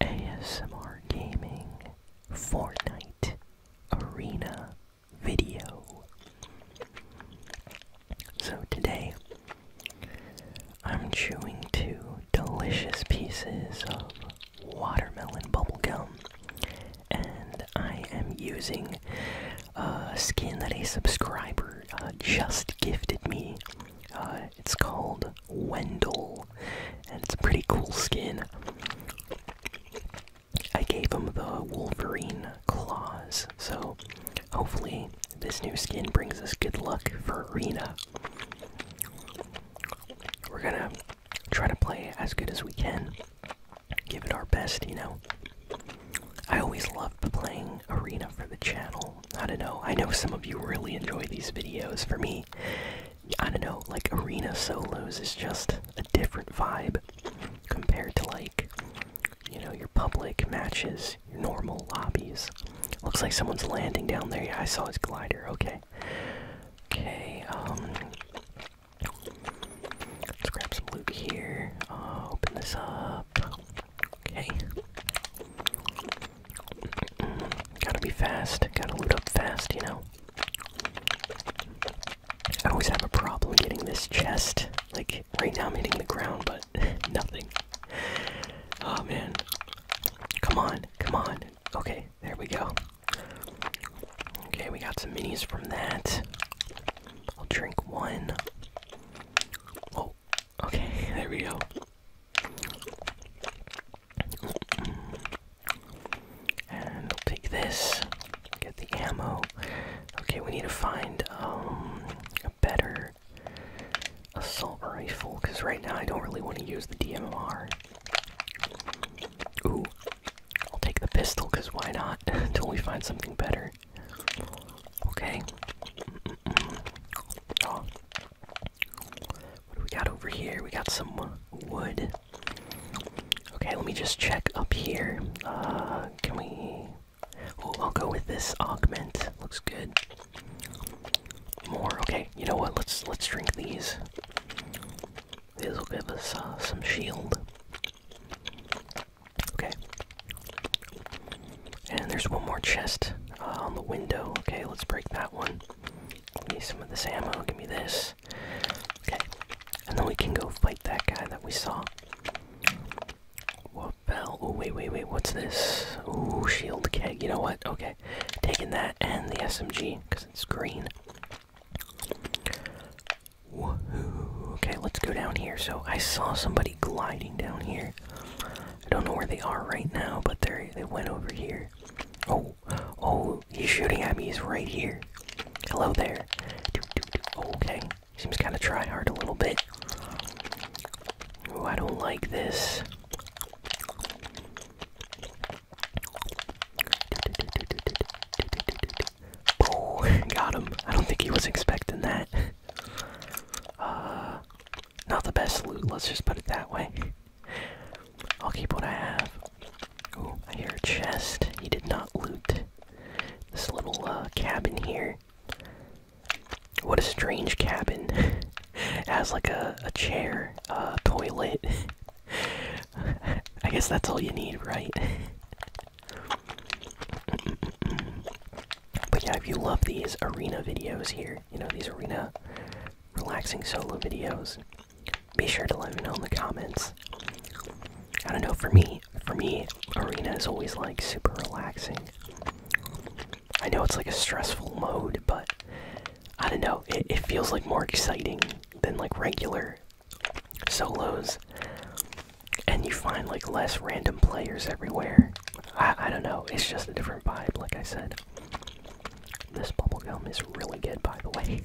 ASMR Gaming Fortnite Arena video. So today, I'm chewing two delicious pieces of watermelon bubblegum, and I am using a skin that a subscriber uh, just gifted me. Uh, it's called Wendel, and it's a pretty cool skin. I gave him the Wolverine claws, so hopefully this new skin brings us good luck for Arena. We're gonna try to play as good as we can, give it our best, you know. I always love playing Arena for the channel. I don't know. I know some of you really enjoy these videos. For me, I don't know, like arena solos is just a different vibe compared to like you know, your public matches, your normal lobbies. Looks like someone's landing down there. Yeah, I saw his glider. Okay. Okay, um Let's grab some loot here. Uh, open this up. Okay. Gotta be fast. Gotta loot up fast, you know? I always have a problem getting this chest. Like, right now I'm hitting the ground, but nothing. Oh man. Come on, come on. Okay, there we go. Okay, we got some minis from that. I'll drink one. Oh, okay, there we go. And take this, get the ammo. Okay, we need to find um, a better assault rifle, because right now I don't really want to use the DMR. Ooh, I'll take the pistol, because why not? Until we find something better. Okay. What do we got over here? We got some wood. Okay, let me just check up here. Uh, can we. Oh, I'll go with this augment. Looks good. More. Okay, you know what? Let's let's drink these. These will give us uh, some shield. Okay. And there's one more chest uh, on the window. Okay, let's break that one. Give some of this ammo. Give me this. Okay, and then we can go fight that guy that we saw. What fell? Oh wait, wait, wait. What's this? Oh, shield keg. You know what? Okay, taking that and the SMG because it's green. Okay, let's go down here. So I saw somebody gliding down here. I don't know where they are right now, but they they went over here. Oh, oh, he's shooting at me. He's right here. Hello there. Okay, seems kind of try hard a little bit. Oh, I don't like this. Oh, got him. I don't think he was expecting that. Uh, not the best loot, let's just put it that way. I'll keep what I have. Ooh, I hear a chest. He did not loot. This little uh, cabin here. What a strange cabin. has like a, chair, a toilet. I guess that's all you need, right? but yeah, if you love these arena videos here, you know these arena relaxing solo videos be sure to let me know in the comments i don't know for me for me arena is always like super relaxing i know it's like a stressful mode but i don't know it, it feels like more exciting than like regular solos and you find like less random players everywhere I, I don't know. It's just a different vibe, like I said. This bubble gum is really good, by the way.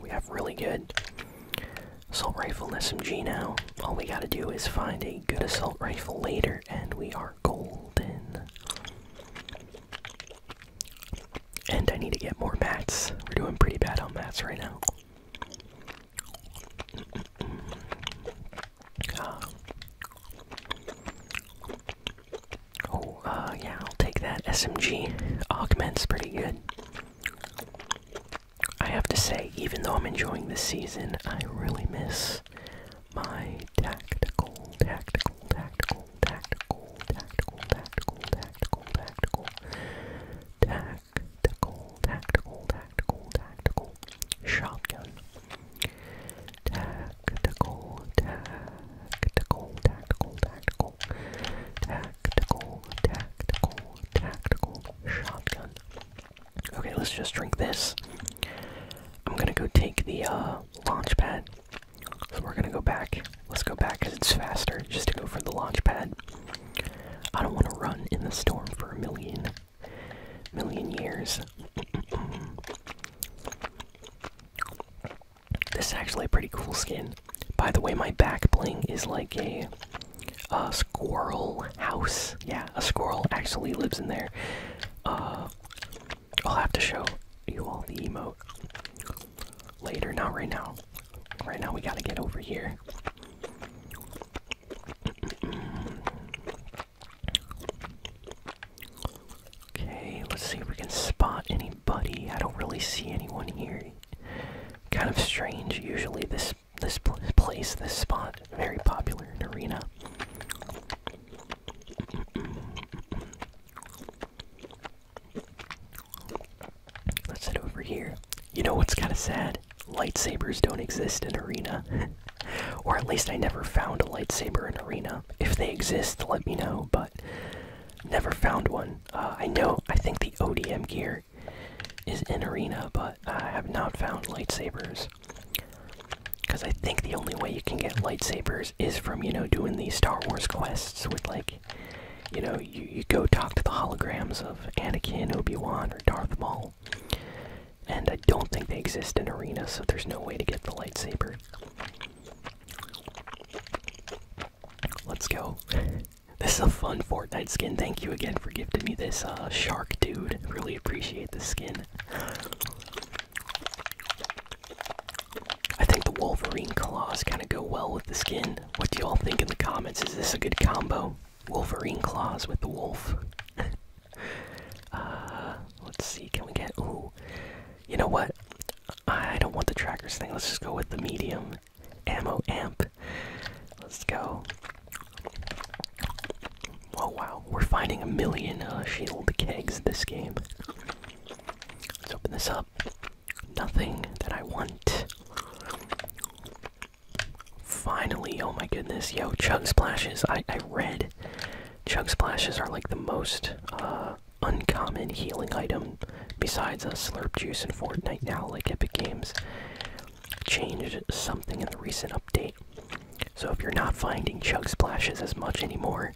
We have really good assault rifle and SMG now. All we gotta do is find a good assault rifle later, and we are golden. And I need to get more mats. We're doing pretty bad on mats right now. Oh, uh, yeah, I'll take that. SMG augments pretty good. I have to say, even though I'm enjoying this season, I really miss my tactical, tactical, tactical, tactical, tactical, tactical, tactical, tactical, tactical, tactical, tactical, tactical, tactical, tactical, shotgun. Tactical, tactical, tactical, tactical, tactical, tactical, tactical, shotgun. Okay, let's just drink this. I'm gonna go take the uh, launch pad. So we're gonna go back. Let's go back it's faster just to go for the launch pad. I don't want to run in the storm for a million million years. this is actually a pretty cool skin. By the way, my back bling is like a, squirrel house. Yeah, a squirrel actually lives in there. Uh, I'll have to show you all the emote later. Not right now. Right now, we gotta get over here okay, let's see if we can spot anybody. I don't really see anyone here. Kind of strange. Usually, this this place, this spot, very popular in arena. Let's head over here. You know what's kind of sad? Lightsabers don't exist in Arena. or at least I never found a lightsaber in Arena. If they exist, let me know, but never found one. Uh, I know, I think the ODM gear is in Arena, but I have not found lightsabers. Because I think the only way you can get lightsabers is from, you know, doing these Star Wars quests with, like, you know, you, you go talk to the holograms of Anakin, Obi-Wan, or Darth Maul and I don't think they exist in Arena, so there's no way to get the lightsaber. Let's go. This is a fun Fortnite skin. Thank you again for giving me this uh, shark dude. Really appreciate the skin. I think the Wolverine claws kind of go well with the skin. What do y'all think in the comments? Is this a good combo? Wolverine claws with the wolf. uh, let's see. Can we get? Ooh, you know what? I don't want the trackers thing. Let's just go with the medium ammo amp. Let's go. Oh wow, we're finding a million uh, shield kegs this game. Let's open this up. Nothing that I want. Finally, oh my goodness, yo, chug splashes. I, I read chug splashes are like the most uh, uncommon healing item besides a uh, slurp juice in Fortnite now, like Epic Games changed something in the recent update. So if you're not finding chug splashes as much anymore,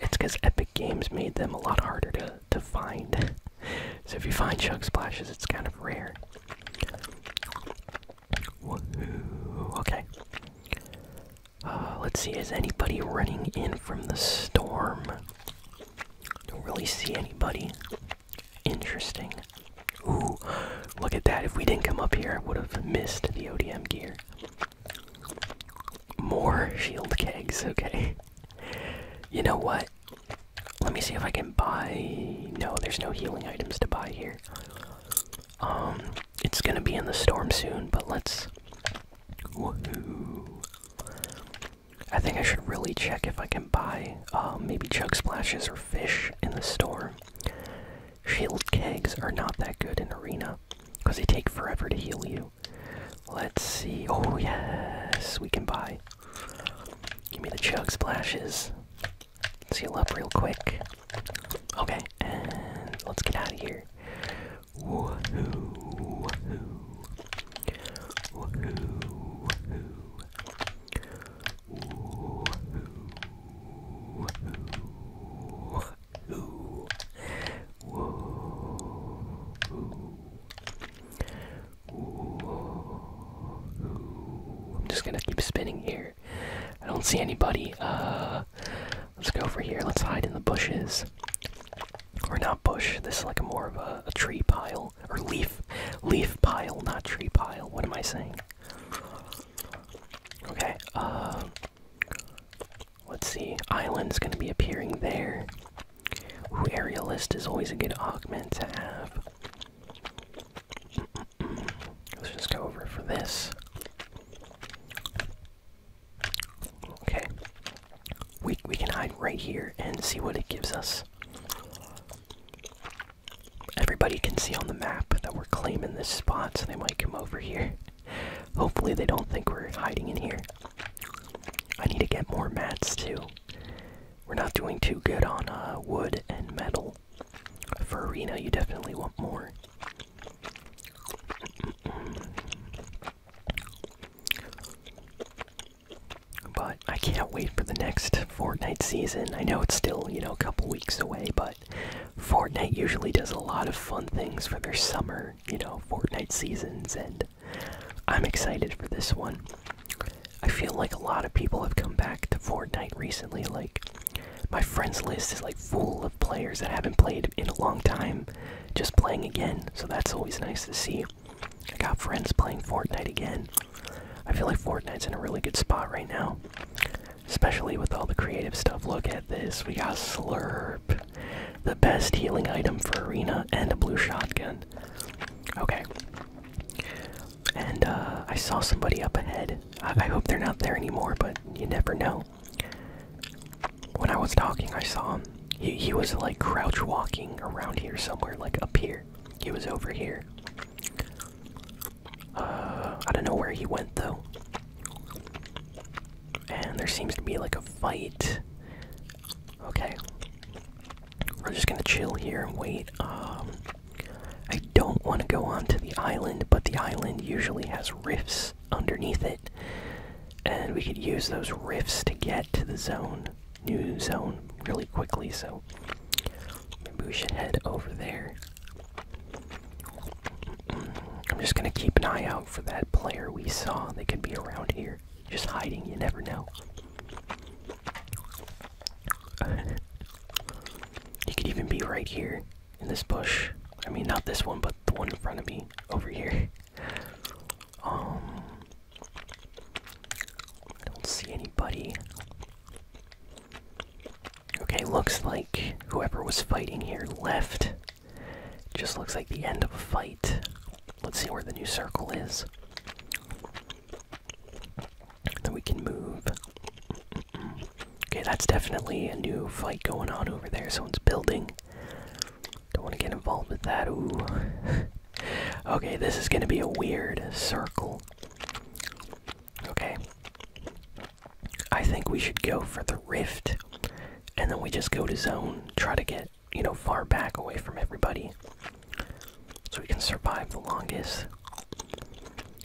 it's because Epic Games made them a lot harder to, to find. so if you find chug splashes, it's kind of rare. Okay. Uh, let's see, is anybody running in from the storm? Don't really see anybody. Interesting. Ooh, look at that. If we didn't come up here, I would have missed the ODM gear. More shield kegs, okay. You know what? Let me see if I can buy. No, there's no healing items to buy here. Um, it's gonna be in the storm soon, but let's. Woohoo! I think I should really check if I can buy uh, maybe chug splashes or fish in the store. Shield kegs are not that good in arena because they take forever to heal you. Let's see. Oh yes, we can buy Give me the chug splashes. Seal up real quick. Okay, and let's get out of here. I'm just gonna keep spinning here. I don't see anybody. Uh, let's go over here. Let's hide in the bushes. Or not bush. This is like a more of a, tree pile or leaf, leaf pile, not tree pile. What am I saying? Okay. Uh, let's see. Island's gonna be appearing there. Ooh, aerialist is always a good augment to have. Let's just go over for this. Okay. We we can hide right here and see what it gives us. Everybody can see on the map that we're claiming this spot, so they might come over here. Hopefully they don't think we're hiding in here. I need to get more mats too. We're not doing too good on uh, wood and metal. For arena, you definitely want more. But I can't wait for the next Fortnite season. I know it's still, you know, a couple weeks away, but Fortnite usually does a lot of fun things for their summer, you know, Fortnite seasons, and I'm excited for this one. I feel like a lot of people have come back to Fortnite recently. Like, my friends list is like full of players that haven't played in a long time just playing again, so that's always nice to see. I got friends playing Fortnite again. I feel like Fortnite's in a really good spot right now, especially with all the creative stuff. Look at this. We got Slurp, the best healing item for Arena, and a blue shotgun. Okay, and uh, I saw somebody up ahead. I, hope they're not there anymore, but you never know. When I was talking, I saw him. He, he was like crouch walking around here somewhere, like up here. He was over here. Uh, I don't know where he went though. And there seems to be like a fight. Okay. We're just gonna chill here and wait. Um, I don't want to go onto the island, but the island usually has rifts underneath it, and we could use those rifts to get to the zone, new zone, really quickly. So maybe we should head over there. I'm just gonna keep an eye out for that player we saw. They could be around here, just hiding. You never know he could even be right here in this bush. I mean, not this one, but the one in front of me over here. Um, I don't see anybody. Okay, looks like whoever was fighting here left. Just looks like the end of a fight. Let's see where the new circle is. Then we can move. Okay, that's definitely a new fight going on over there. Someone's building. Don't want to get involved with that. Ooh. okay, this is going to be a weird circle. Okay. I think we should go for the rift. And then we just go to zone, try to get you know, far back away from everybody. So we can survive the longest.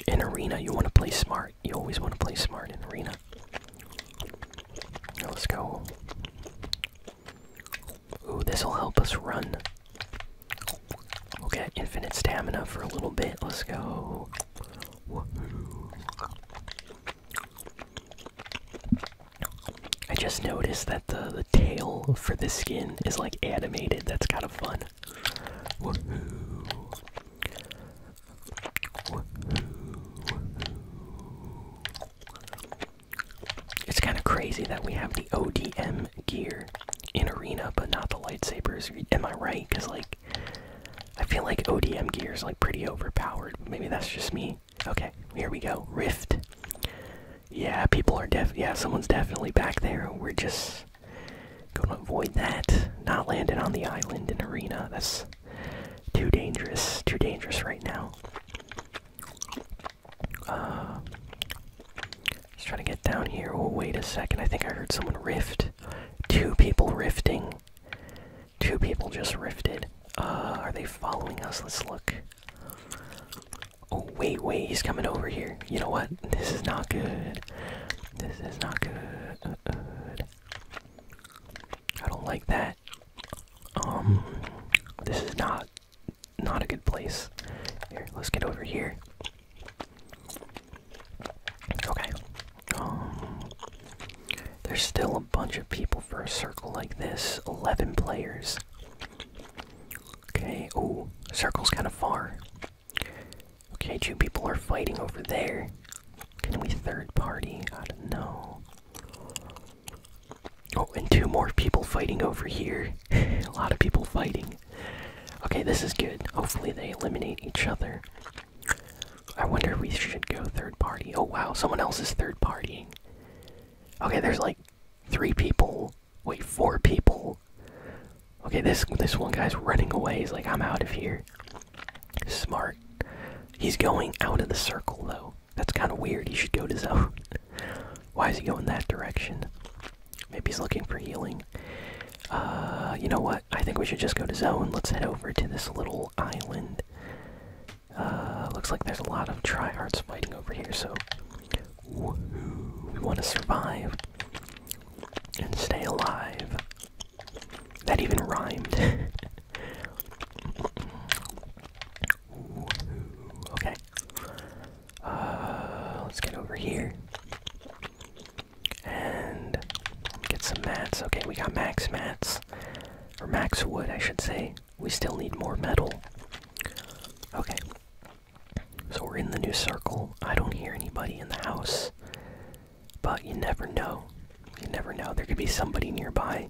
In arena, you want to play smart. You always want to play smart in arena. let's go. Ooh, this'll help us run. We'll get infinite stamina for a little bit. Let's go. I just noticed that the the tail for this skin is like animated. That's kind of fun. It's kind of crazy that we have the ODM gear in arena, but not the lightsabers. Am I right? Cause like, I feel like ODM gear is like pretty overpowered. Maybe that's just me. Okay, here we go. Rift. Yeah, people are def. Yeah, someone's definitely back there. We're just gonna avoid that. Not landing on the island in arena. That's too dangerous. Too dangerous right now. Uh, let's try to get down here. Oh, wait a second. I think I heard someone rift. Two people riffing. Two people just rifted. Uh, are they following us? Let's look. Oh, wait, wait, he's coming over here. You know what? This is not good. This is not good. Uh-uh. I don't like that. Um, this is not not a good place. Here, let's get over here. Okay. Um, there's still a bunch of people for a circle like this. Eleven players. Okay, oh, circle's kind of far. Okay, two people are fighting over there. Can we third party? I don't know. Oh, and two more people fighting over here. A lot of people fighting. Okay, this is good. Hopefully they eliminate each other. I wonder if we should go third party. Oh wow, someone else is third partying. Okay, there's like Three people. Wait, four people. Okay, this this one guy's running away. He's like, I'm out of here. Smart. He's going out of the circle though. That's kind of weird. He should go to zone. Why is he going that direction? Maybe he's looking for healing. Uh, you know what? I think we should just go to zone. Let's head over to this little island. Uh, looks like there's a lot of arts fighting over here, so we want to survive and stay alive. That even rhymed. okay. Uh, let's get over here and get some mats. Okay, we got max mats or max wood, I should say. We still need more metal. Okay. So we're in the new circle. I don't hear anybody in the house. But you never know. You never know. There could be somebody nearby.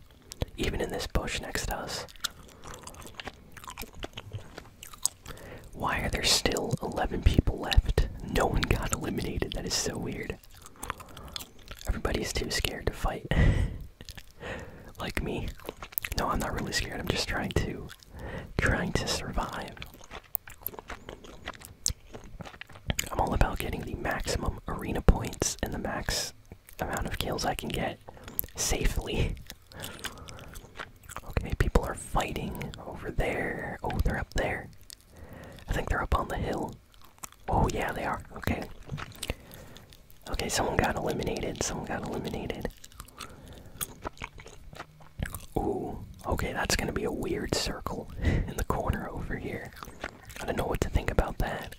Even in this bush next to us. Why are there still 11 people left? No one got eliminated. That is so weird. Everybody's too scared to fight. like me. No, I'm not really scared. I'm just trying to trying to survive. I'm all about getting the maximum arena points and the max amount of kills I can get safely. Okay, people are fighting over there. Oh, they're up there. I think they're up on the hill. Oh, yeah, they are. Okay. Okay, someone got eliminated. Someone got eliminated. Ooh, okay, that's gonna be a weird circle in the corner over here. I don't know what to think about that.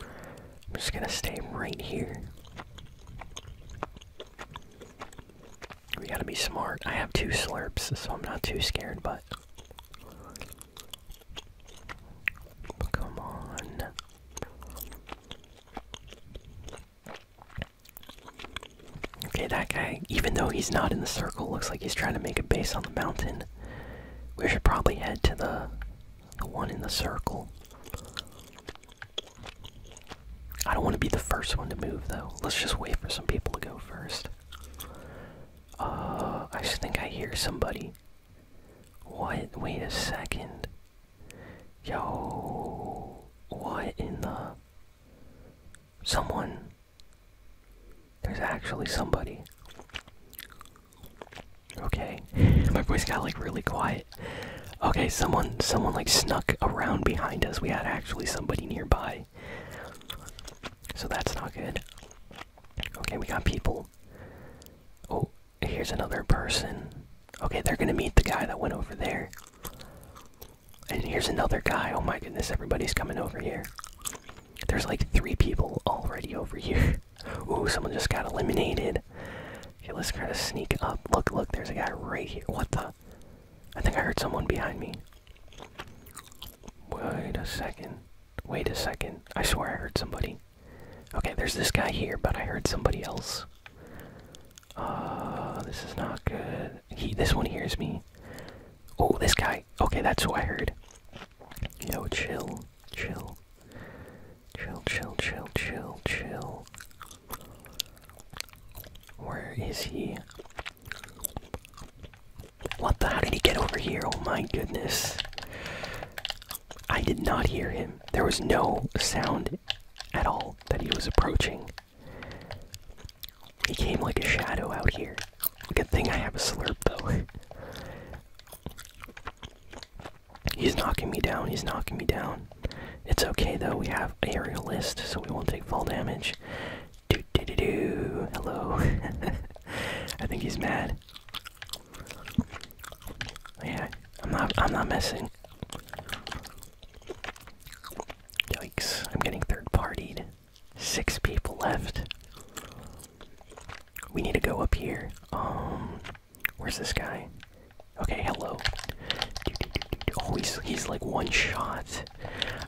I'm just gonna stay right here. We gotta be smart. I have two slurps, so I'm not too scared, but. Come on. Okay, that guy, even though he's not in the circle, looks like he's trying to make a base on the mountain. We should probably head to the, the one in the circle. I don't want to be the first one to move, though. Let's just wait for some people to go first. Uh, I think I hear somebody. What? Wait a second. Yo, what in the. Someone. There's actually somebody. Okay. My voice got like really quiet. Okay, someone someone like snuck around behind us. We had actually somebody nearby. So that's not good. Okay, we got people. Oh, here's another person. Okay, they're gonna meet the guy that went over there. And here's another guy. Oh my goodness, everybody's coming over here. There's like three people already over here. Ooh, someone just got eliminated. Okay, let's try to sneak up. Look, look, there's a guy right here. What the? I think I heard someone behind me. Wait a second. Wait a second. I swear I heard somebody. Okay, there's this guy here, but I heard somebody else. Uh, this is not good. He, this one hears me. Oh, this guy. Okay, that's who I heard. Yo, chill, chill, chill, chill, chill, chill, chill. Where is he? What the? hell did he get over here? Oh my goodness. I did not hear him. There was no sound at all that he was approaching. He came like a shadow out here. Good thing I have a slurp bow. He's knocking me down. He's knocking me down. It's okay though. We have aerialist, so we won't take fall damage. Do, do, do, do. Hello. I think he's mad. Yeah, I'm not. I'm not messing. Yikes! I'm getting third partied. Six people left. We need to go up here. Um, where's this guy? Okay, hello. Oh, he's he's like one shot.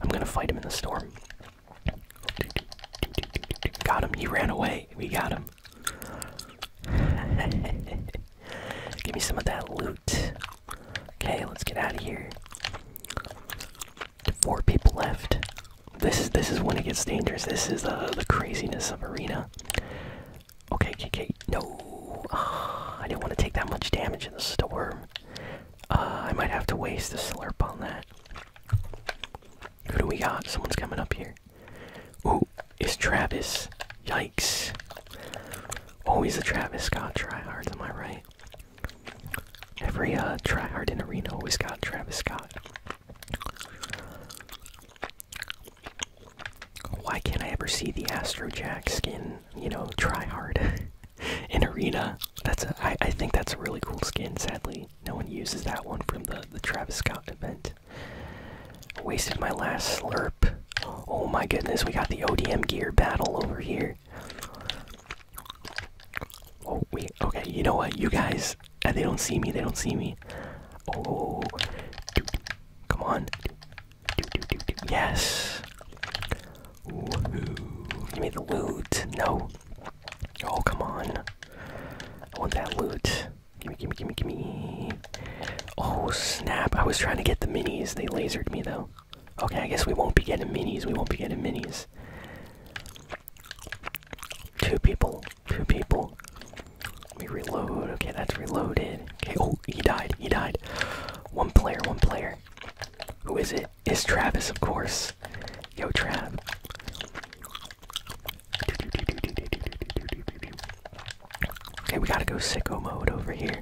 I'm gonna fight him in the storm. Got him. He ran away. We got him. Give me some of that loot. Okay, let's get out of here. Four people left. This is this is when it gets dangerous. This is the uh, the craziness of arena. Okay, okay, no. Ah, I didn't want to take that much damage in the storm. Uh, I might have to waste a slurp on that. Who do we got? Someone's coming up here. Ooh, is Travis. Yikes. Always a Travis Scott tryhard, am I right? Every uh, tryhard in Arena always got Travis Scott. Why can't I ever see the Astro Jack skin, you know, tryhard? in arena. That's I think that's a really cool skin. Sadly, no one uses that one from the the Travis Scott event. wasted my last slurp. Oh my goodness, we got the ODM gear battle over here. Oh wait, okay. You know what, you guys? Uh, they don't see me. They don't see me. Oh, come on. Yes. Give me the loot. No. Oh, come on. I want that loot. Gimme, gimme, gimme, gimme. Oh, snap. I was trying to get the minis. They lasered me, though. Okay, I guess we won't be getting minis. We won't be getting minis. Two people. Two people. Let reload. Okay, that's reloaded. Okay, oh, he died. He died. One player, one player. Who is It's Travis, of course. Yo, Trav. Okay, we gotta go sicko mode over here.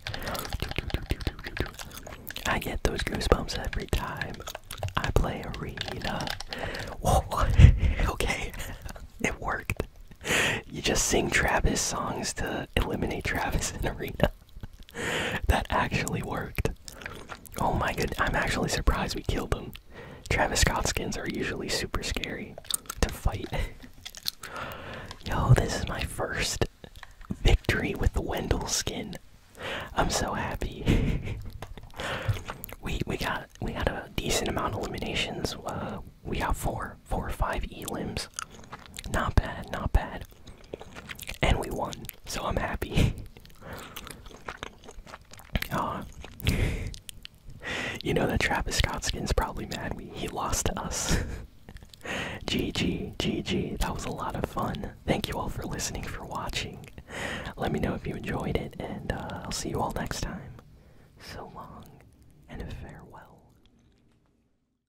I get those goosebumps every time I play Arena. Whoa, okay, it worked. You just sing Travis songs to eliminate Travis in Arena. that actually worked. Oh my god! I'm actually surprised we killed him. Travis Scott skins are usually super scary to fight. Yo, this is my first victory with the Wendell skin. I'm so happy. we we got we got a decent amount of eliminations. Uh, we got four, four or five elims. Not bad, not bad. And we won, so I'm happy. uh, you know that Travis Scott skin's probably mad we he lost to us. GG, GG, that was a lot of fun. Thank you all for listening, for watching. Let me know if you enjoyed it, and uh, I'll see you all next time. So long, and farewell.